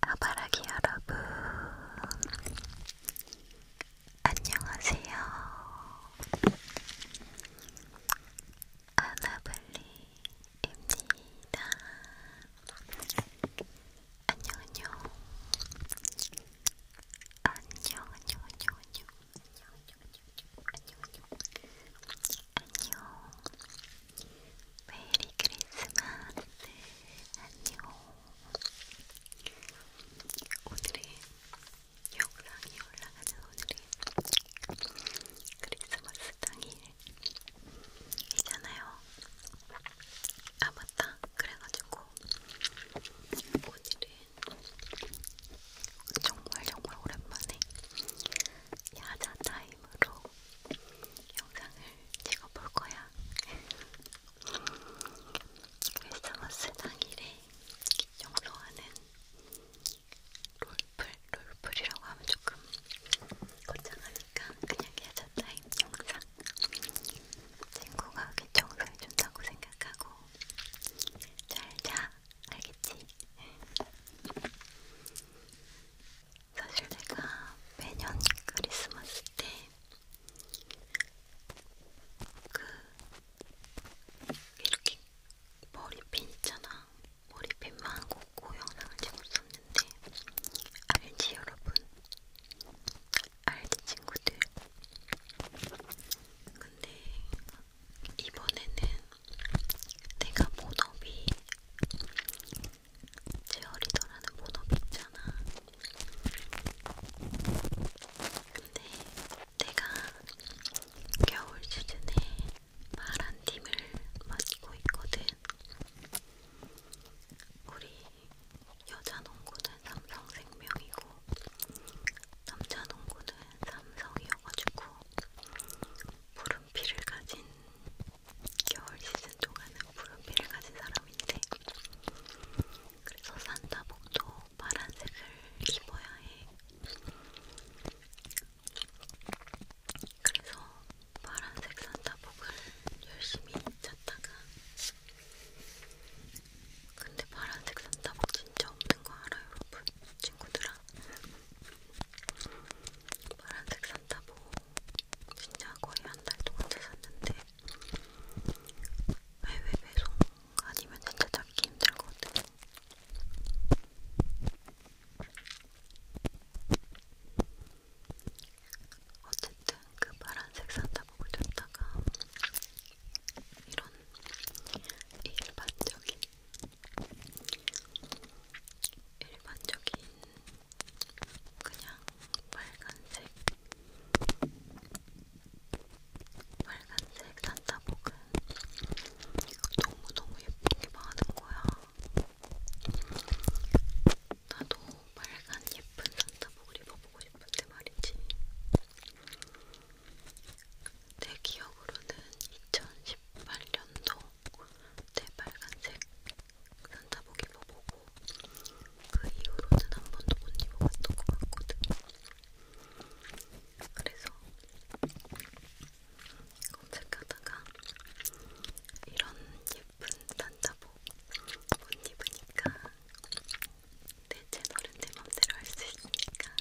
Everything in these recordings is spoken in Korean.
아바라기 여러분, 안녕하세요. 아나블리입니다. 안녕, 안녕. 안녕, 안녕, 안녕, 안녕. 안녕, 안녕, 안녕, 안녕. 안녕. 메리 크리스마스 안녕 오늘은 영상이 올라가는 오늘은 크리스마스 당일이잖아요 아 맞다 그래가지고 오늘은 정말 정말 오랜만에 야자타임 힘으로 영상을 찍어볼 거야. 크리스마스 당일에 영로하는 롤플, 롤플이라고 하면 조금 거창하니까 그냥 야자 타임 영상. 친구가 귀 청소해준다고 생각하고 잘자 알겠지? 사실 내가 매년 크리스마스 때 그 이렇게 머리핀 있잖아. 머리핀만 꽂고 영상을 찍었었는데 알지 여러분? 알지 친구들? 근데 이번에는 내가 본업이 제어리더라는 본업이 있잖아. 근데 내가 겨울 시즌에 파란 팀을 맡고 있거든. 우리 여자 농구는 삼성생명이고 남자 농구는 삼성이어가지고 푸른 피를 가진 겨울 시즌 동안은 푸른피를 가진 사람인데 그래서 산타복도 파란색을 입어야 해. 그래서 파란색 산타복을 열심히 찾다가 근데 파란색 산타복 진짜 없는 거 알아요 여러분? 친구들아 파란색 산타복 진짜 거의 한 달 동안 잤었는데 해외 배송 아니면 진짜 찾기 힘들거든. 어쨌든 그 파란색 산타복을 줬다가 이런 일반적인 일반적인 그냥 빨간색 빨간색 산타복은 너무너무 예쁘게 많은 거야. 나도 빨간 예쁜 산타복을 입어보고 싶은데 말이지. 내 기억으로는 2018년도 내 빨간색 산타복 입어보고 그 이후로는 한 번도 못 입어봤던 것 같거든. 그래서 검색하다가 이런 예쁜 산타복 못 입으니까 내 채널은 내 맘대로 할 수 있으니까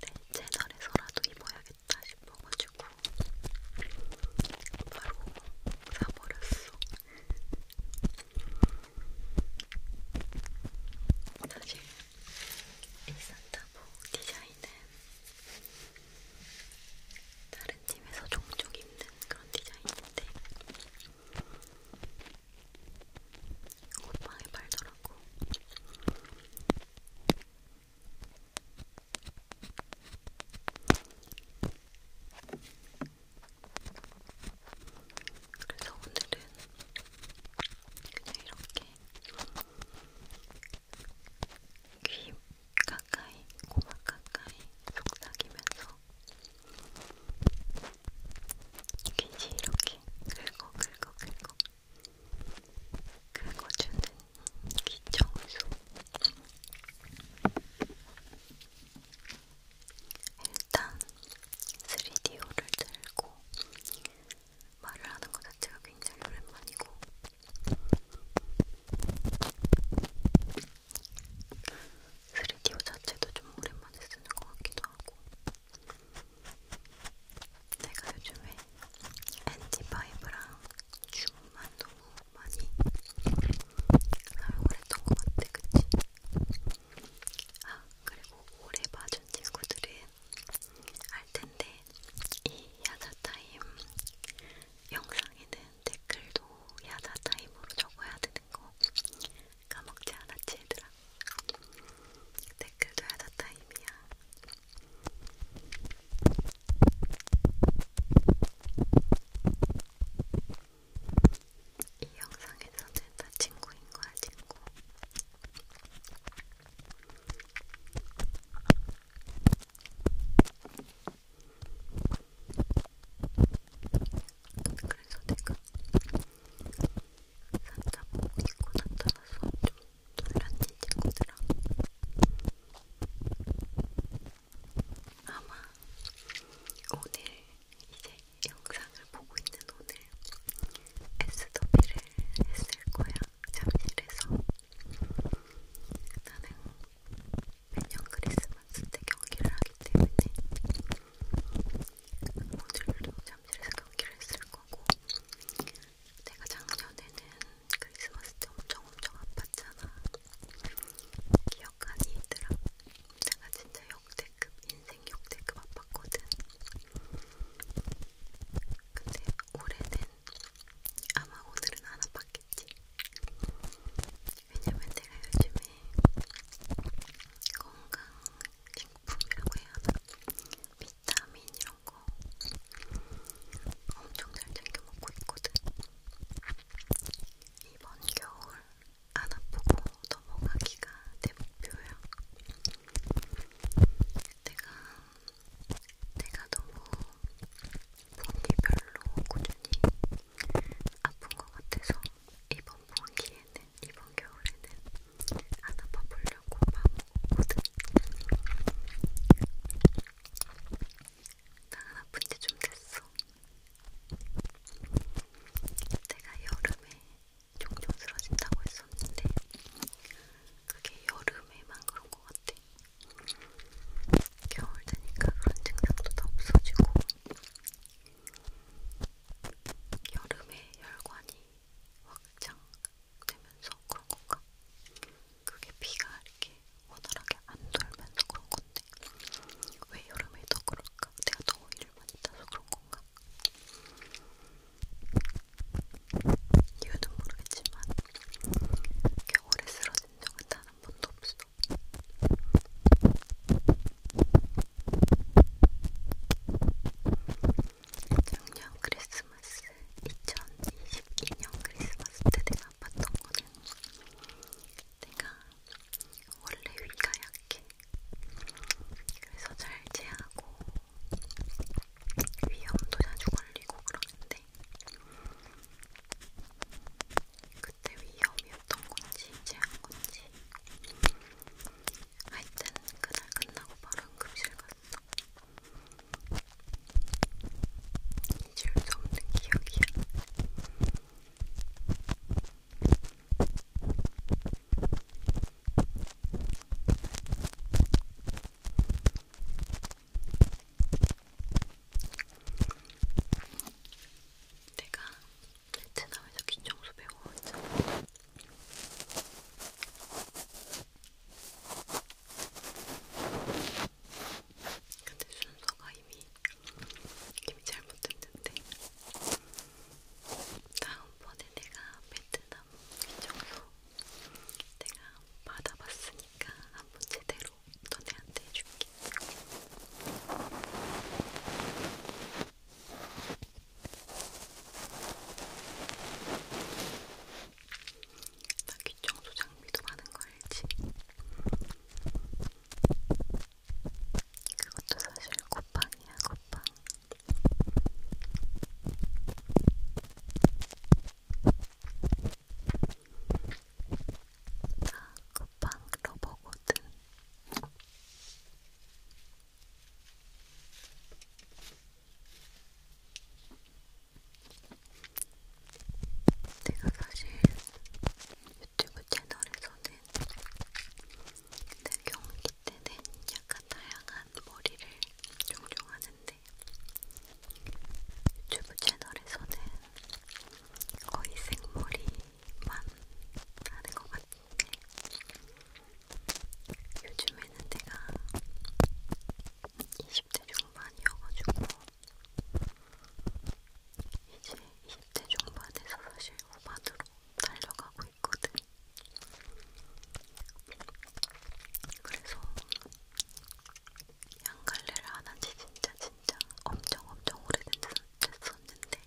내 채널에서라도 입어야겠다. 맛있다 싶어가지고 바로 사버렸어. 사실 이 산타보 디자인은 다른 팀에서 종종 입는 그런 디자인인데 옷방에 팔더라고. 그래서 오늘은 그냥 이렇게 귀 가까이, 고막 가까이 속삭이면서 귀지 이렇게 긁어 긁어 긁어 긁어주는 귀청소 일단 3DO를 들고 말을 하는 것 자체가 굉장히 오랜만이고 스리디오 자체도 좀 오랜만에 쓰는 것 같기도 하고 제가 요즘에 엔티파이브랑 줌만 너무 많이 사용을 했던 것 같아, 그치? 아, 그리고 오래 봐준 친구들은 알텐데 이 야자타임 영상에는 댓글도 야자타임으로 적어야 되는 거 까먹지 않았지 얘들아? 댓글도 야자타임이야 이 영상에서는 다 친구인 거야, 친구. 그래서 내가 산타 보고 있고 나타나서 좀 놀란지 친구들아 아마 오늘 이제 영상을 보고 있는 오늘 에스더비를 했을 거야 잠실에서 나는 매년 크리스마스 때 경기를 하기 때문에 오늘도 잠실에서 경기를 했을 거고 내가 작년에는 크리스마스 때 엄청 엄청 아팠잖아. 기억하니 얘들아? 내가 진짜 역대급, 인생 역대급 아팠거든. 근데 올해는 아마 오늘은 안 아팠겠지. 왜냐면 내가 요즘에 건강 식품이라고 해야 하나? 비타민 이런 거 엄청 잘 챙겨 먹고 있거든. 이번 겨울 안 아프고 넘어가기가 내 목표야. 내가 내가 너무 본기 별로 꾸준히 아픈 것 같아서 이번 본기에는 이번 겨울에는 안 아파 보려고 마음 나는 아픈 지좀 됐어. 내가 여름에 종종 쓰러진다고 했었는데 그게 여름에만 그런 것 같아. 겨울 되니까 그런 증상도 다 없어지고 여름에 혈관이 확장 되면서 그런 건가? 그게 비가 이렇게 원활하게 안 돌면서 그런 건데 왜 여름에 더 그럴까? 내가 더위를 많이 타서 그런 건가? 이유는 모르겠지만 겨울에 쓰러진 적은 단한 번도 없어. 작년 크리스마스 2022년 크리스마스 때 내가 아팠던 거는 내가 원래 위가 약해 그래서 잘 제하고 위염도 자주 걸리고 그러는데 그때 위염이었던 건지 제한 건지 하여튼 그날 끝나고 바로 응급실 갔어 잊을 수 없는 기억이야. 내가 베트남에서 귀청소 배워왔잖아. 근데 순서가 이미 이미 잘못됐는데 다음번에 내가 베트남 기정서 내가 받아봤으니까 한번 제대로 너네한테 해줄게. 나 귀청소 장비도 많은 거 알지? 그것도 사실 콧방이야, 콧방. 나 콧방 러버거든. 내가 사실 유튜브 채널에서는 내 경기 때는 약간 다양한 머리를 종종 하는데 유튜브 채널에서는 거의 생머리만 하는 것 같은데 요즘에는 내가 20대 중반이어가지고 이제 20대 중반에서 사실 후반으로 달려가고 있거든. 그래서 양갈래를 안한지 진짜 진짜 엄청 엄청 오래됐었는데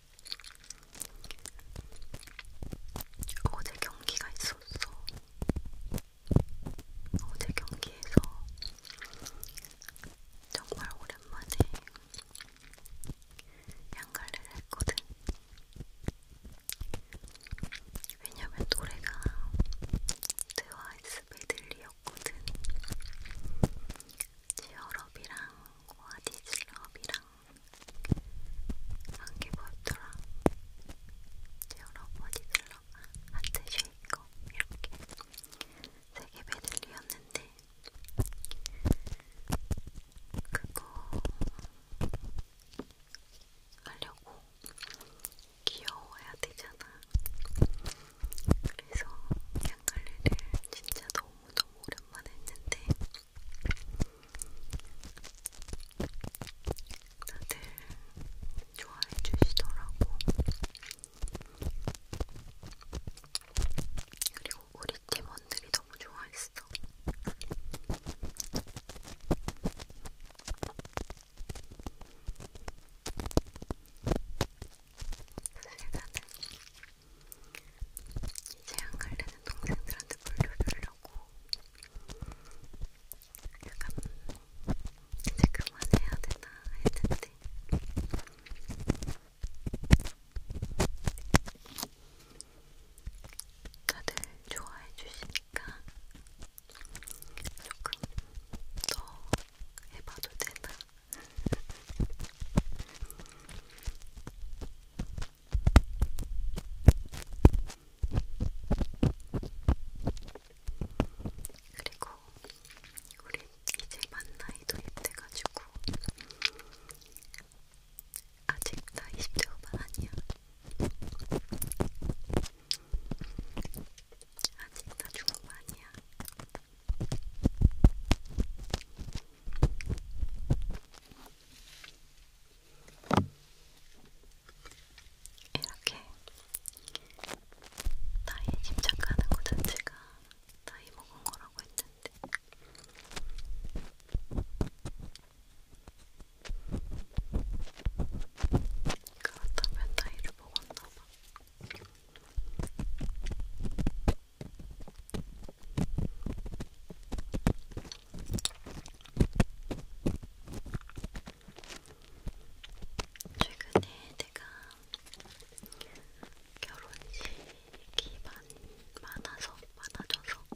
어제 경기가 있었어. 어제 경기에서 정말 오랜만에 양갈래를 했거든. 왜냐면 노래가 The Wise Medley였거든. 지어럽이랑 와디즈럽이랑 안개보였더라. 여러 보디슬러 하트 쉐이커 이렇게 세개 메들리였는데 그거 하려고 귀여워야 되잖아. 그래서 양갈래를 진짜 너무너무 오랜만에 했는데 다들 좋아해 주시더라고. 그리고 우리 팀원들이 너무 좋아했어. 사실 나는 이제 안 갈래는 동생들한테 물려주려고 약간 이제 그만해야 되나 했는데 다들 좋아해 주시니까 조금 더 해봐도 되나? 그리고 우리 이제 만나이 도입돼가지고 아직 나 20대 후반 아니야. 아직 나 중후반 아니야. 이렇게 나이에 집착하는 것 자체가 나이 먹은 거라고 했는데 그렇다면 나이를 먹었나 봐. 최근에 내가 결혼식이 많아서 많아져서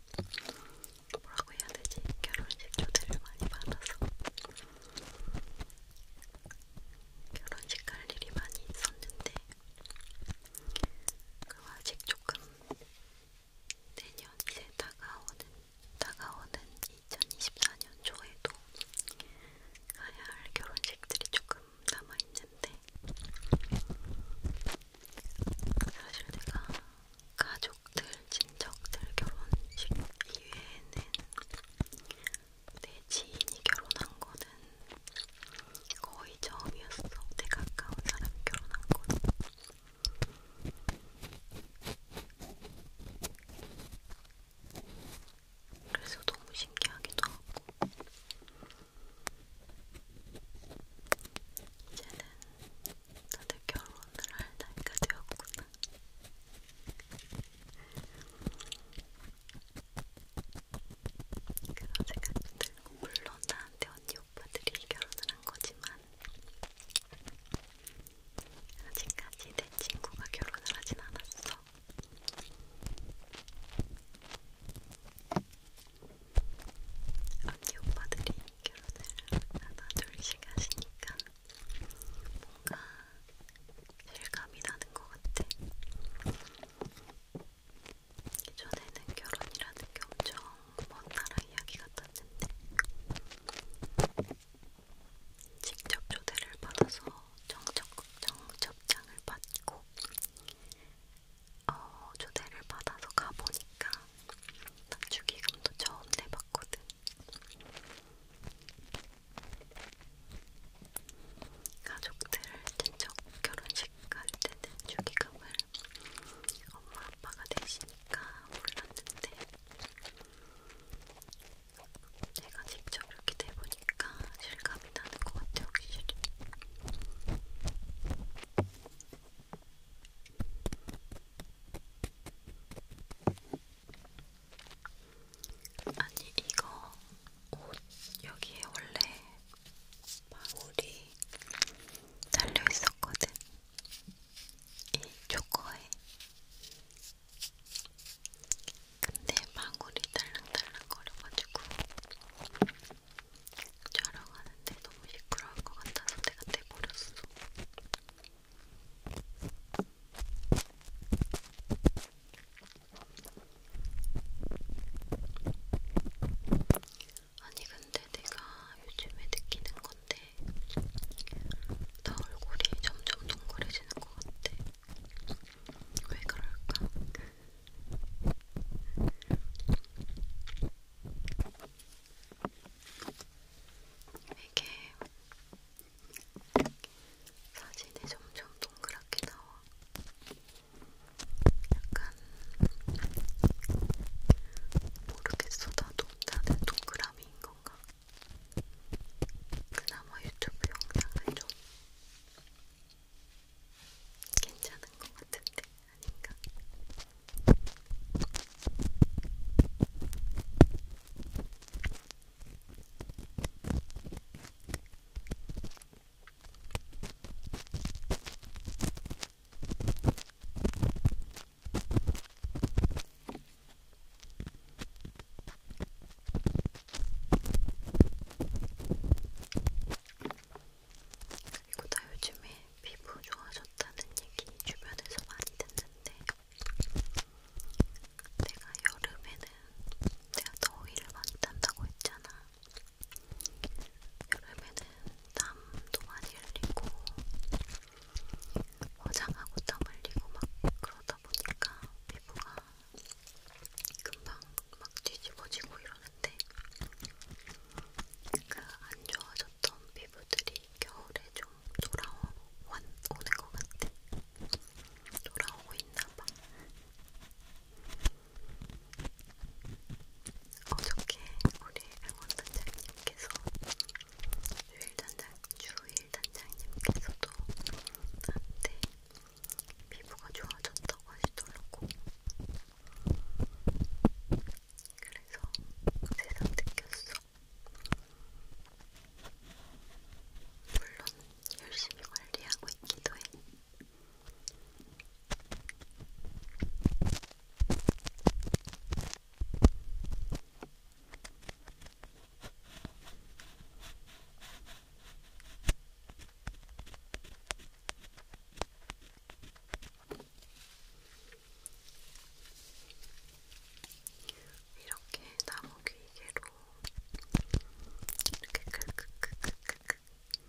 뭐라고 해야 되지? 결혼식 초대를 많이 받아서 결혼식 갈 일이 많이 있었는데 그 아직 조금 내년 이제 다가오는 다가오는 2024년 초에도 가야 할 결혼식들이 조금 남아 있는데 사실 내가 가족들 친척들 결혼식 이외에는 내 지인이 결혼한 거는 거의 처음이었어. 내가 가까운 사람이 결혼한 거는. 그래서 너무 신기하기도 하고 이제는 다들 결혼을 할 나이가 되었구나. 그런 생각이 들고 물론 나한테 언니 애기 오빠들이 결혼을 한 거지만 아직까지 내 친구가 결혼을 하진 않았어. 언니 오빠들이 결혼을 하나 둘씩 하시니까 뭔가 실감이 나는 것 같아. 예전에는 결혼이라는 게 엄청 먼 나라 이야기 같았는데 직접 초대를 받아서 정적, 정첩장을 받고 어, 초대를 받아서 가보니까 난 축의금도 처음 내봤거든. 가족들 친척 결혼식 갈 때는 축의금을 엄마 아빠가 대신 있으니까 몰랐는데 제가 직접 이렇게 대보니까 실감이 나는 것 같아요, 확실히. 아니, 이거 옷 여기에 원래 마무리 달려 있었거든. 이 초코에 근데 방울이 달랑달랑 거려가지고 촬영하는데 너무 시끄러울 것 같아서 내가 떼버렸어. 아니 근데 내가 요즘에 느끼는 건데 나 얼굴이 점점 동그래지는 것 같아. 왜 그럴까? 이게 사진이 점점 동그랗게 나와. 약간 모르겠어 나도 나는 동그라미인 건가? 그나마 유튜브 영상은 좀 괜찮은 것 같은데 아닌가? 그리고 나 요즘에 피부 좋아졌다는 얘기 주변에서 많이 듣는데 내가 여름에는 내가 더위를 많이 탄다고 했잖아. 여름에는 땀도 많이 흘리고 화장하고 땀 흘리고 막 그러다 보니까 피부가 금방 막 뒤집어지고 이러는데 그 안 좋아졌던 피부들이 겨울에 좀 돌아오는 것 같아. 돌아오고 있나봐. 어저께 우리 응원 단장님께서 주일 단장 주일 단장님께서도 나한테 피부가 좋아졌다고 하시더라고. 그래서 새삼 느꼈어. 물론 열심히 관리하고 있기도 해. 이렇게 나무 귀개로 이렇게 크크크크크크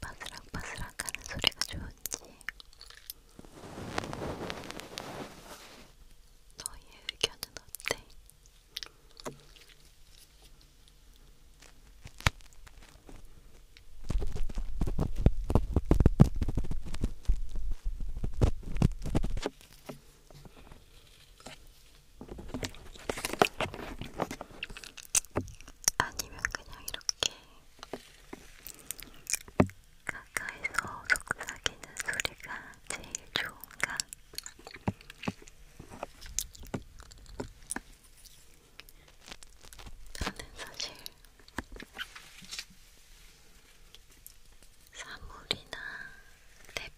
바스락바스락 하는 소리가 좋은지 너의 의견은 어때? 아니면 그냥 이렇게 가까이서 속삭이는 소리가 제일 좋은가? 나는 사실 사물이나 탭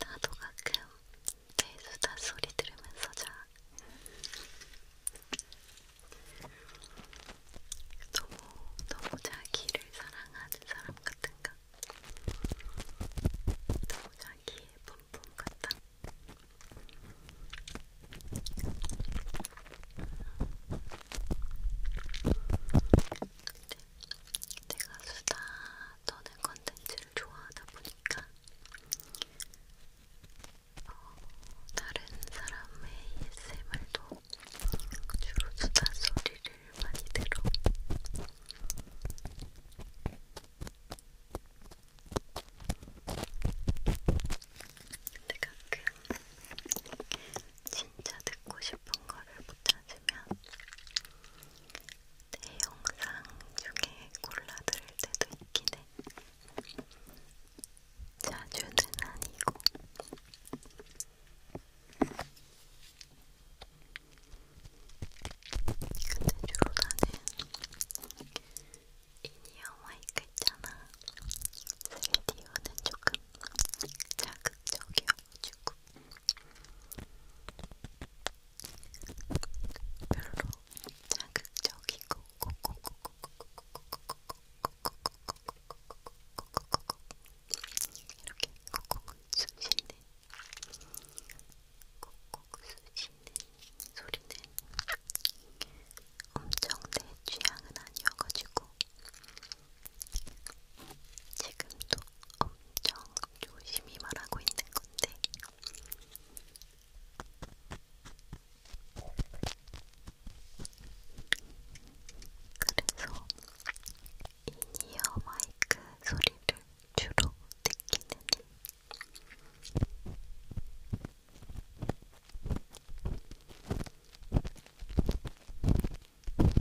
나도 가끔 배수다 소리 들으면서 자. 너무 너무 자기를 사랑하는 사람 같은가? 너무 자기의 본품 같다. 근데 내가 수다 떠는 컨텐츠를 좋아하다 보니까 어, 다른 사람의 ASMR도 주로 수다 소리를 많이 들어. 근데 가끔 그 진짜 듣고 싶은 거를 못 찾으면 내 영상 중에 골라드릴 때도 있긴 해. 자주는 아니고. 근데 주로 나는 이니어 마이크 있잖아. 셀디오는 조금 자극적이어가지고 별로 자극적이고 이렇게 콕콕 쑤시는 콕콕 쑤시는 소리는 엄청 내 취향은 아니어가지고 지금도 엄청 조심히 말하고 있는 건데. 그래서 인이어 마이크 소리를 주로 듣기는 근데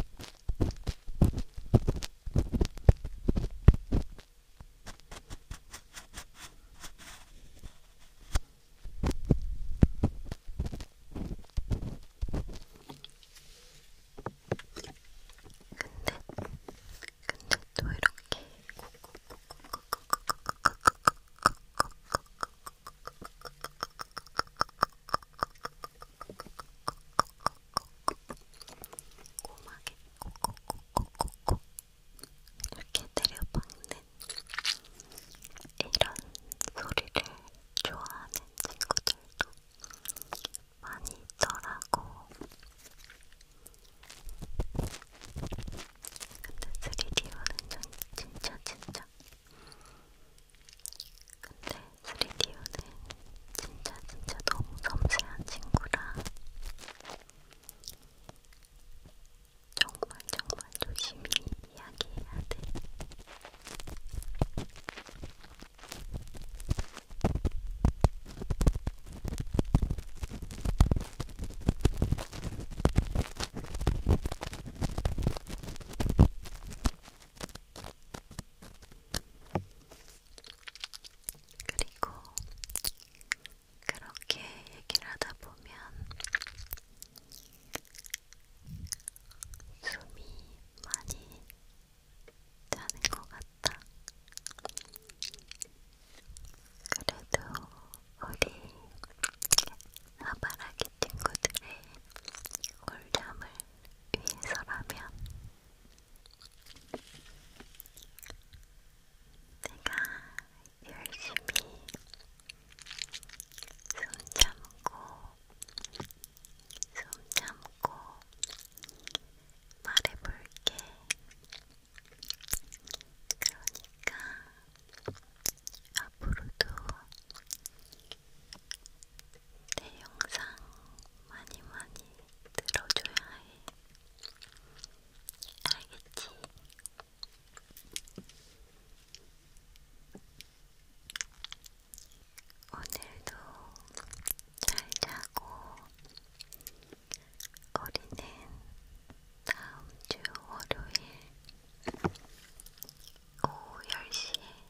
또 이렇게 꼼꼼하게 콕콕콕콕콕 이렇게 때려박는 이런 소리를 좋아하는 친구들도 많이 있더라고. 근데 3D 와는 진짜 진짜 근데 3DO는 진짜 진짜 너무 섬세한 친구라 정말 정말 조심히 이야기해야 돼. 그리고 그렇게 얘기를 하다 보면 숨이 많이 자는 것 같다. 그래도 우리 아바라기 친구들의 꿀잠을 윈서라면 내가 열심히 숨 참고 숨 참고 말해볼게. 그러니까 앞으로도 내 영상 많이 많이 들어줘야 해. 알겠지? 오늘도 잘 자고 우리는 다음 주 월요일 오후 10시에